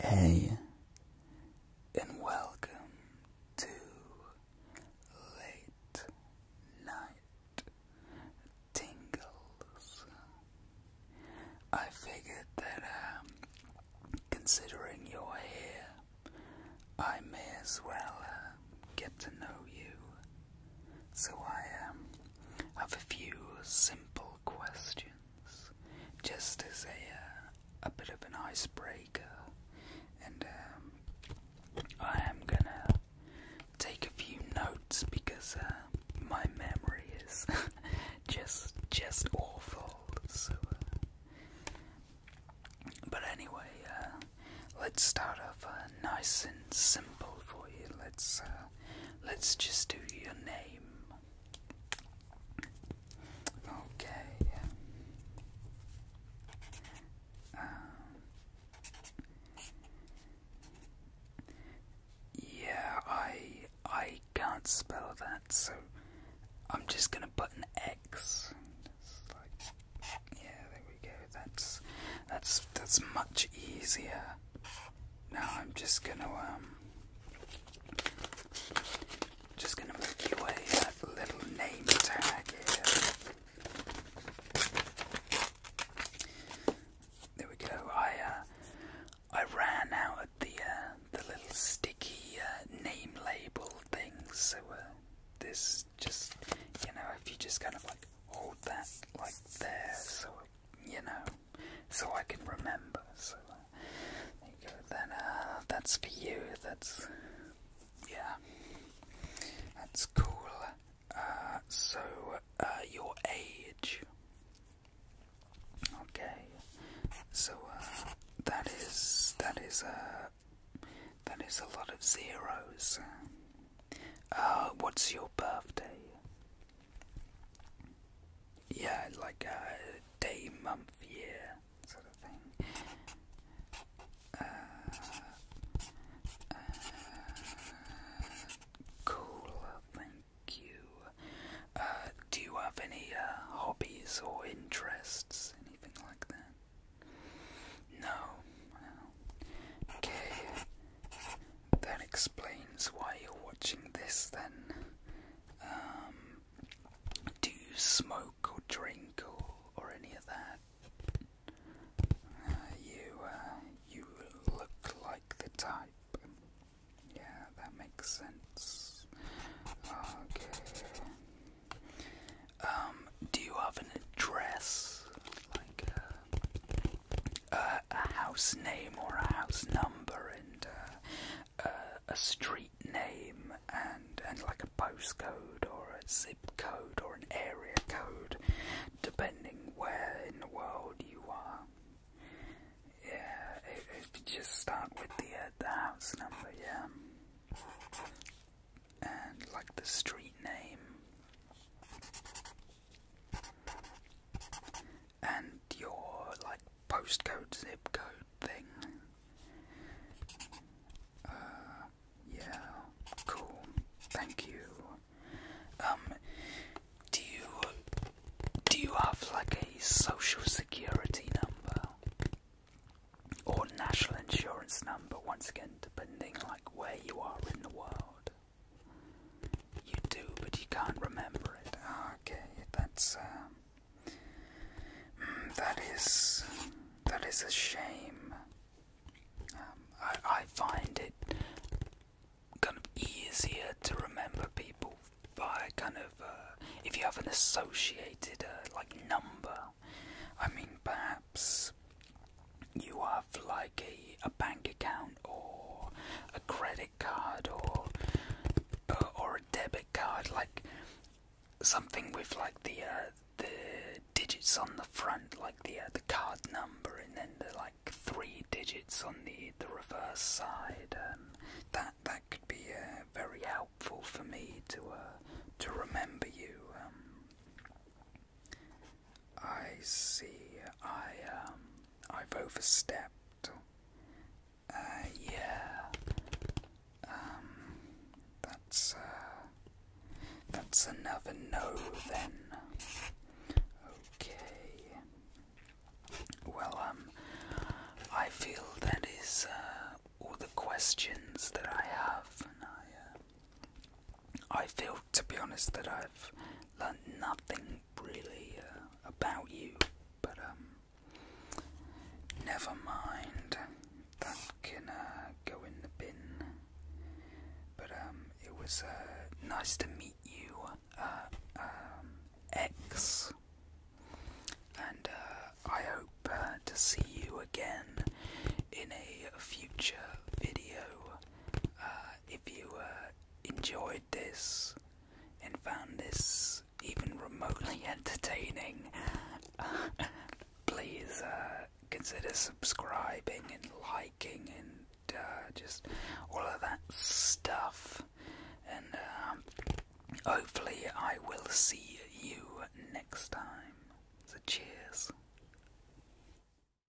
Hey, and welcome to Late Night Tingles. I figured that, um, considering you're here, I may as well uh, get to know you. So I am um, have a few simple questions just as a uh, a bit of an icebreaker, and um, I am gonna take a few notes because uh, my memory is just just awful. So, uh, but anyway, let's start off nice and simple for you. Let's let's just do your name. Okay. Um, yeah, I I can't spell that, so I'm just gonna put an X. yeah, there we go. That's that's that's much easier. Now I'm just gonna um just gonna make you a uh, little name tag here. There we go. I uh, I ran out of the uh, the little sticky uh, name label things, so uh, this just you know if you just kind of like hold that like there, so you know so I can remember. So uh, there you go. Then uh, that's for you. That's yeah. That's cool. Uh, so your age. Okay. So that is that is a that is a lot of zeros. what's your birthday? yeah, like a day, month, year sort of thing. Uh, uh, cool, thank you. Uh, do you have any hobbies or interests, anything like that? no. Okay that explains why you're watching this then. Um, do you smoke or drink or, or any of that? Uh, you, uh, you look like the type. Yeah, that makes sense. Okay. Um, do you have an address? Like, uh, a house name or a house number and uh, a street name and and like a postcode or a zip code or an area code, depending where in the world you are. Yeah, just start with the uh, the house number, yeah, and like the street name and your like postcode zip code thing. Uh, yeah, cool. Thank you. Um, do you do you have like a social security number or national insurance number? Once again, depending like where you are in the world. You do, but you can't remember it. Ah, okay, that's um, hmm, that is that is a shame. Um, I I find it kind of easier to remember people by kind of uh, if you have an associated uh, like number. I mean, perhaps you have like a bank account or a credit card or uh, or a debit card, like something with like the uh, the digits on the front, like the uh, the card number, and then the like three digits on the the reverse side. Um, that that could be very helpful for me to to remember you. Um. I see. I um, I've overstepped. Uh, yeah. Um, that's uh, that's another no then. Okay. Well, um, I feel that is uh, all the questions that I have, and I. Uh, I feel, to be honest, that I've learned nothing really uh, about you, but um, never mind. That can uh, go in the bin. But um, it was uh, nice to meet you, uh, um, X, and uh, I hope uh, to see you again in a future video. Uh, if you uh, enjoyed this and found this even remotely entertaining, please uh, consider subscribing and liking and uh, just all of that stuff. And um, hopefully, I will see you next time. So, cheers.